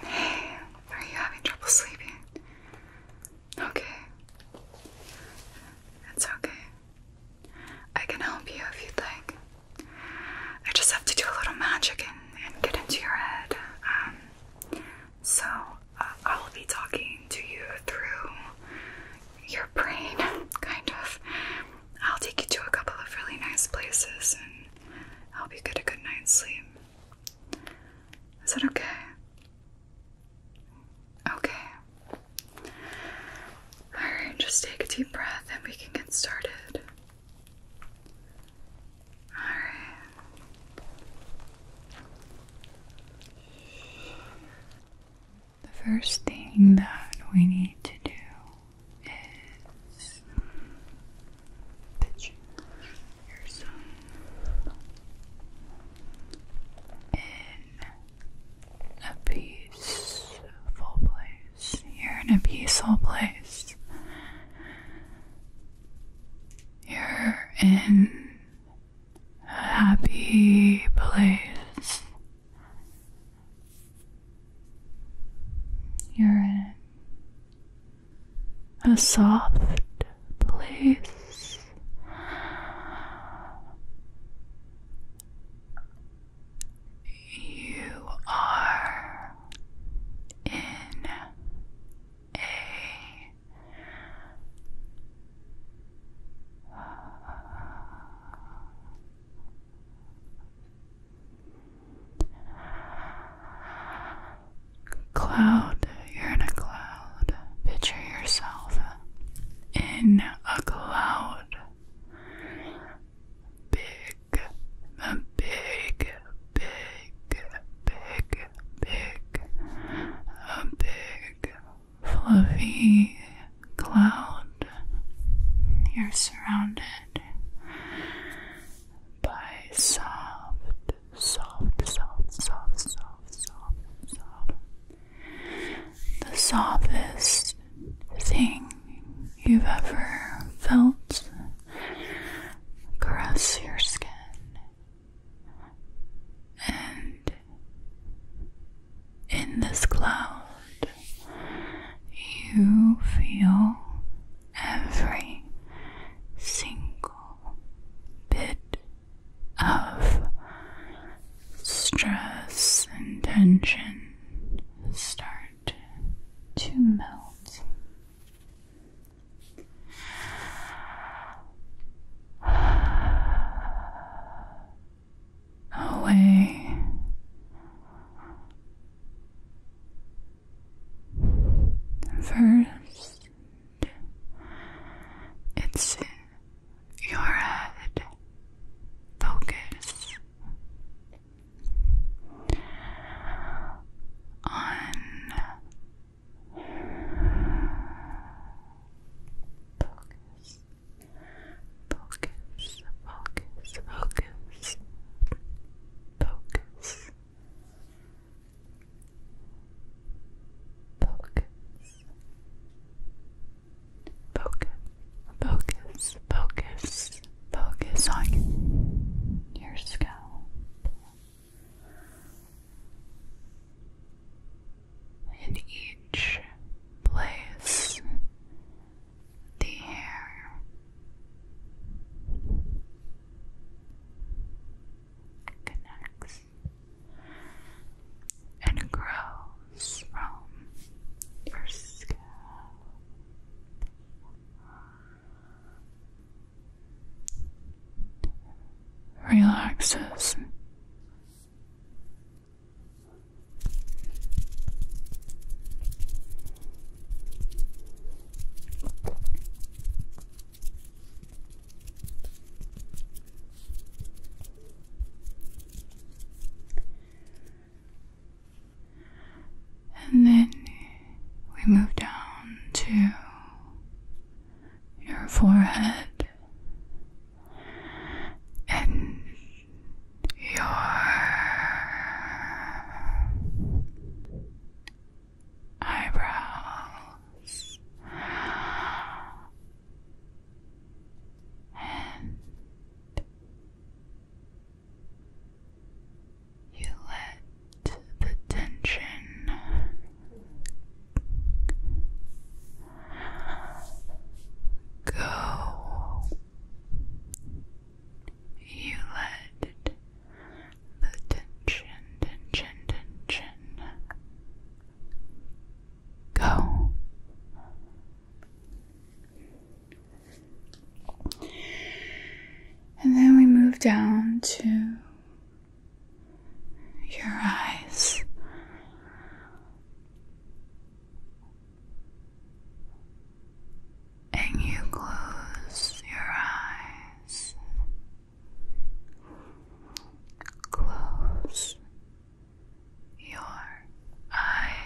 Hey, are you having trouble sleeping? Okay. It's okay. I can help you if you'd like. I just have to do a little magic and, get into your head. Um, so uh, I'll be talking to you through your brain, kind of. I'll take you to a couple of really nice places I hope you get a good night's sleep. Is that okay? Okay. Alright, just take a deep breath and we can get started. Alright. The first thing that we need to do is pitch your sun in a peaceful place. You're in a peaceful place. You're in a happy place. You're in a soft place. You are in a Cloud, you're in a cloud. Picture yourself in a cloud. Big, the big, big, big, big, a big, fluffy cloud. You're surrounded by soft, soft, soft, soft, soft, soft, soft. The softest thing you've ever felt caress your skin and in this cloud you feel every single bit of stress and tension start to melt. Away First, it's your head. Focus on focus, focus, focus. Focus. Focus. Focus. Focus. Focus. Focus on your scalp. In each place the hair. Connects and grows from your scalp relaxes and then we move down to your forehead and your eyebrows and you let the tension go you let the tension, tension, tension go. And then we move down to your eyes and you close your eyes. Close your eyes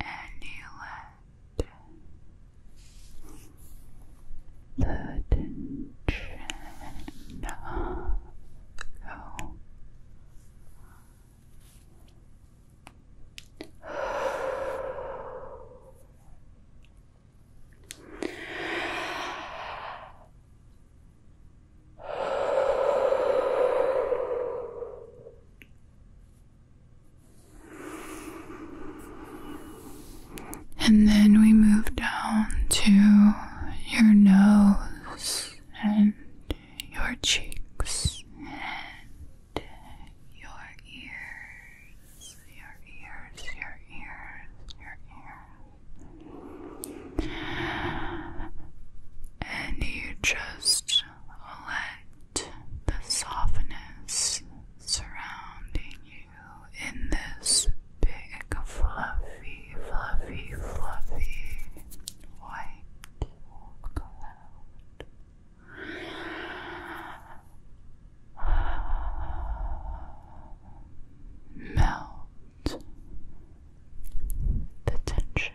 and you let the tension go. And then we move down to your nose and your cheeks and your ears, your ears, your ears, your ears. And you just let the softness surrounding you in this big, fluffy, fluffy, fluffy white cloud. Melt the tension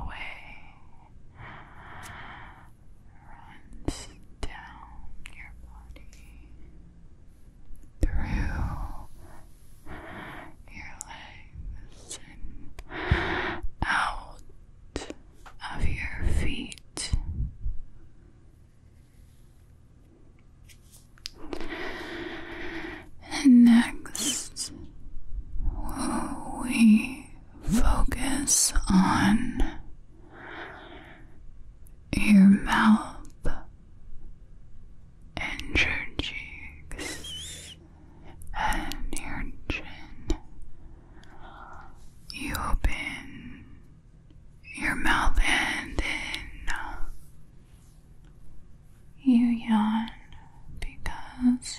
away runs down your body through your legs and out of your feet. next, we focus on your mouth and your cheeks and your chin. You open your mouth and then you yawn because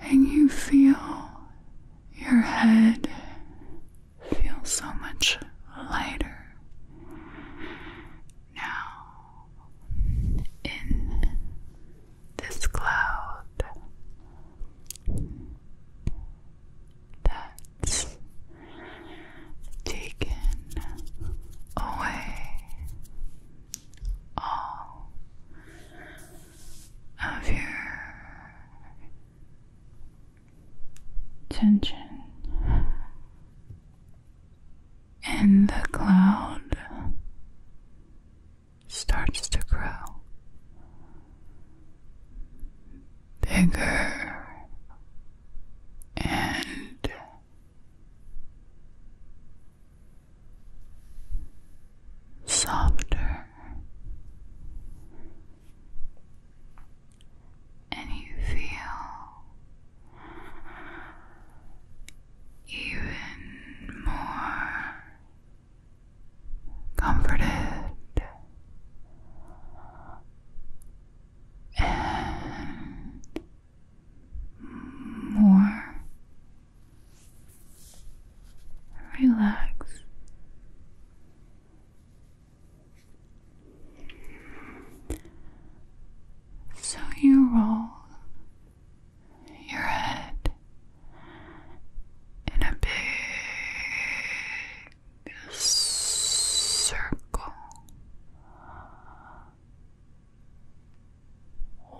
and you feel your head feel so much lighter now in this cloud that's taken away all of your tension and the cloud starts to grow bigger and softer, and you feel even more comforted and more relaxed. So you roll your head in a big circle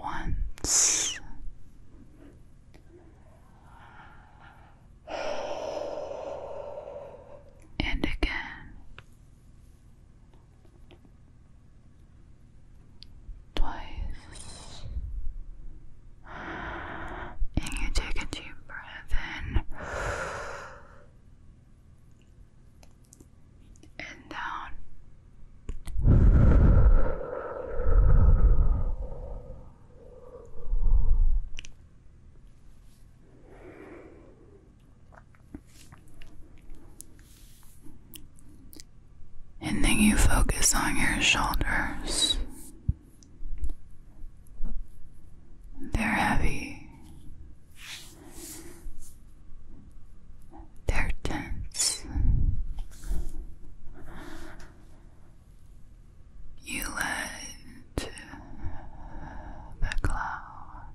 once. And again, twice, and you take a deep breath in and down. And then you focus on your shoulders. They're heavy. They're tense. You let the cloud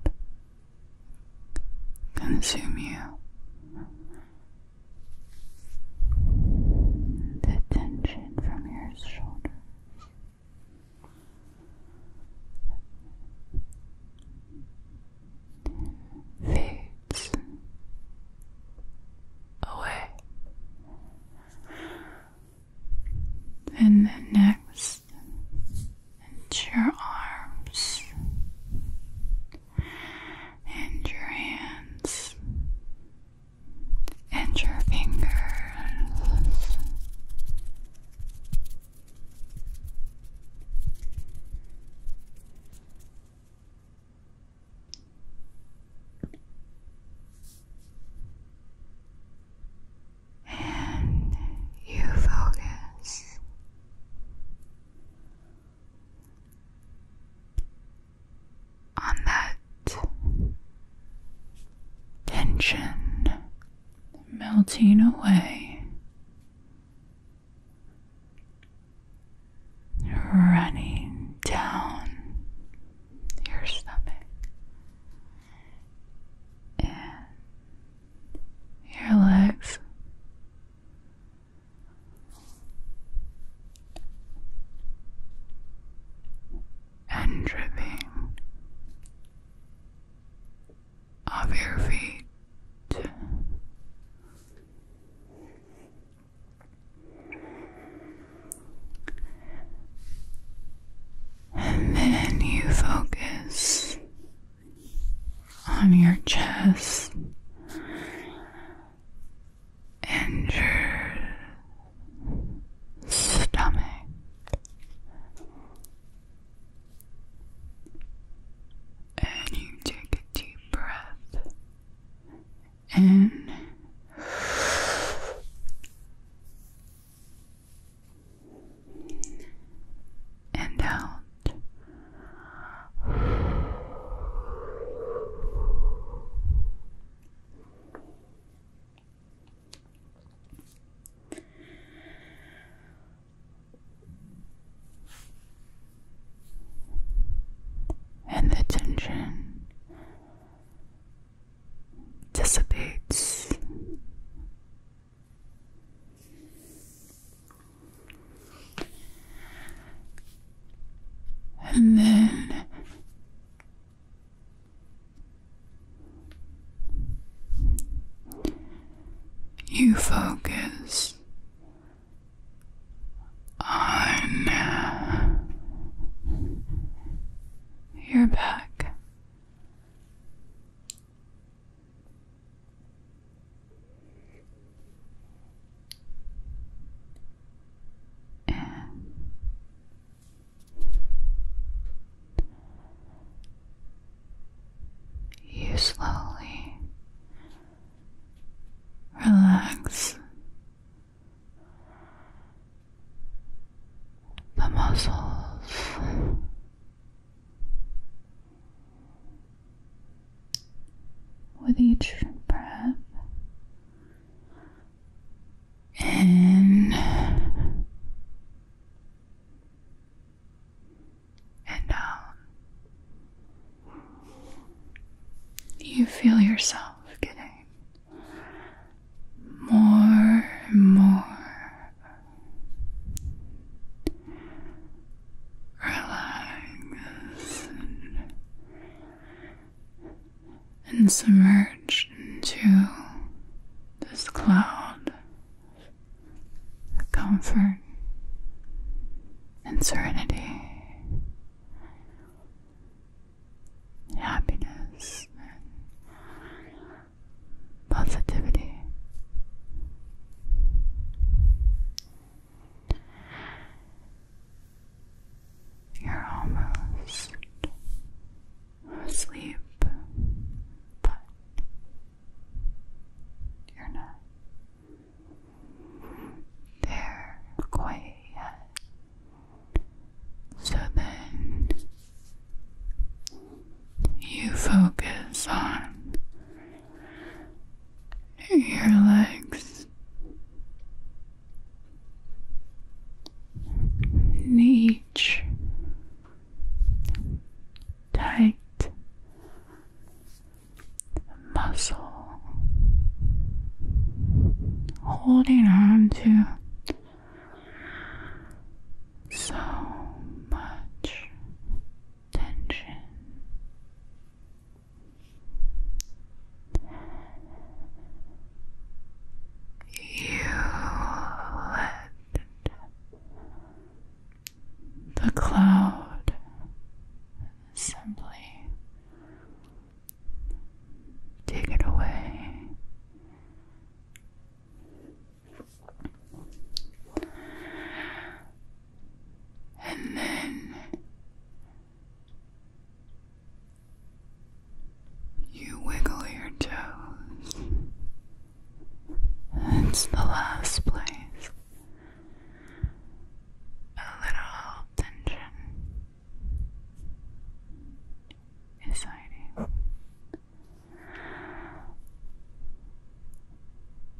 consume you. The tension from your shoulders fades away. And then next, into your arms and your hands and your fingers and you focus on that tension melting away running down your stomach and your legs. And dripping of your feet. And then you focus on your chest and your stomach. And you take a deep breath in and out and the tension dissipates. And then you focus on uh, your back you slowly relax the muscles with each breath in and down. Um, you feel yourself getting more and more relaxed and, and submerged into this cloud comfort and serenity, happiness and positivity. You're almost asleep, but you're not. There quite yet. So then you focus on your legs, and tight muscle holding on to so much tension. You let the cloud simply take it away. And then you wiggle your toes it's the last place. A little tension is hiding.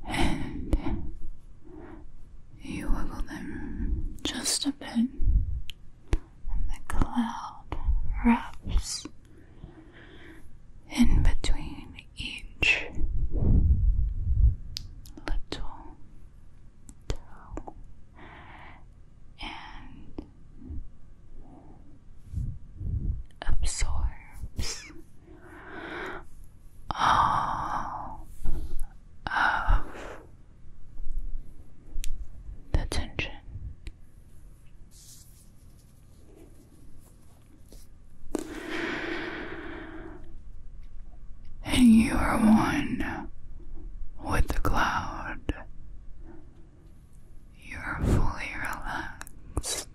And you wiggle them just a bit, and the cloud wraps in between each little toe and absorbs all of the tension. And you are one with the cloud. You are fully relaxed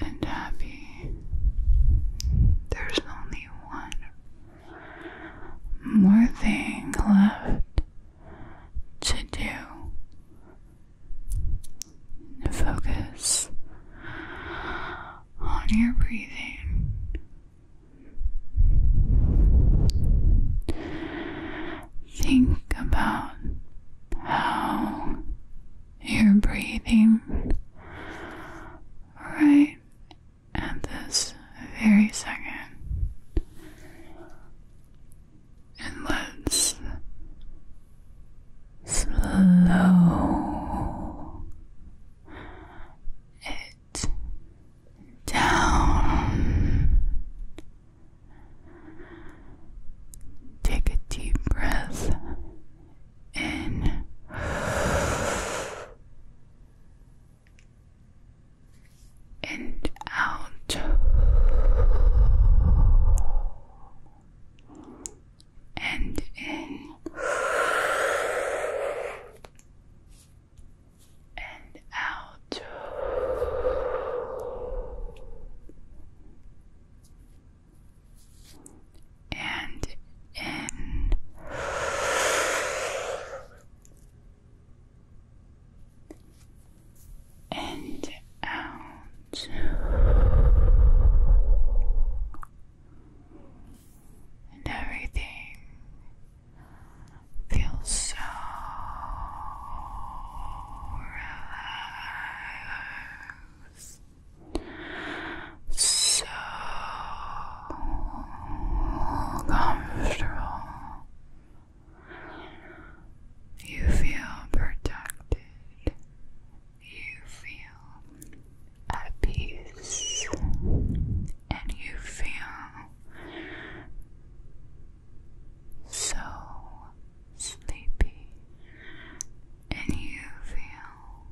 and happy. There's only one more thing left to do and focus on your breathing. Think about how you're breathing right at this very second and let's slow it down. Take a deep breath in. And out, and in and out. And in and out. And everything feels so relaxed, so comfortable. You feel protected. You feel at peace. And you feel so sleepy. And you feel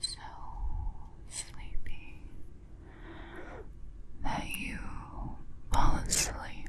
so sleepy that you fall asleep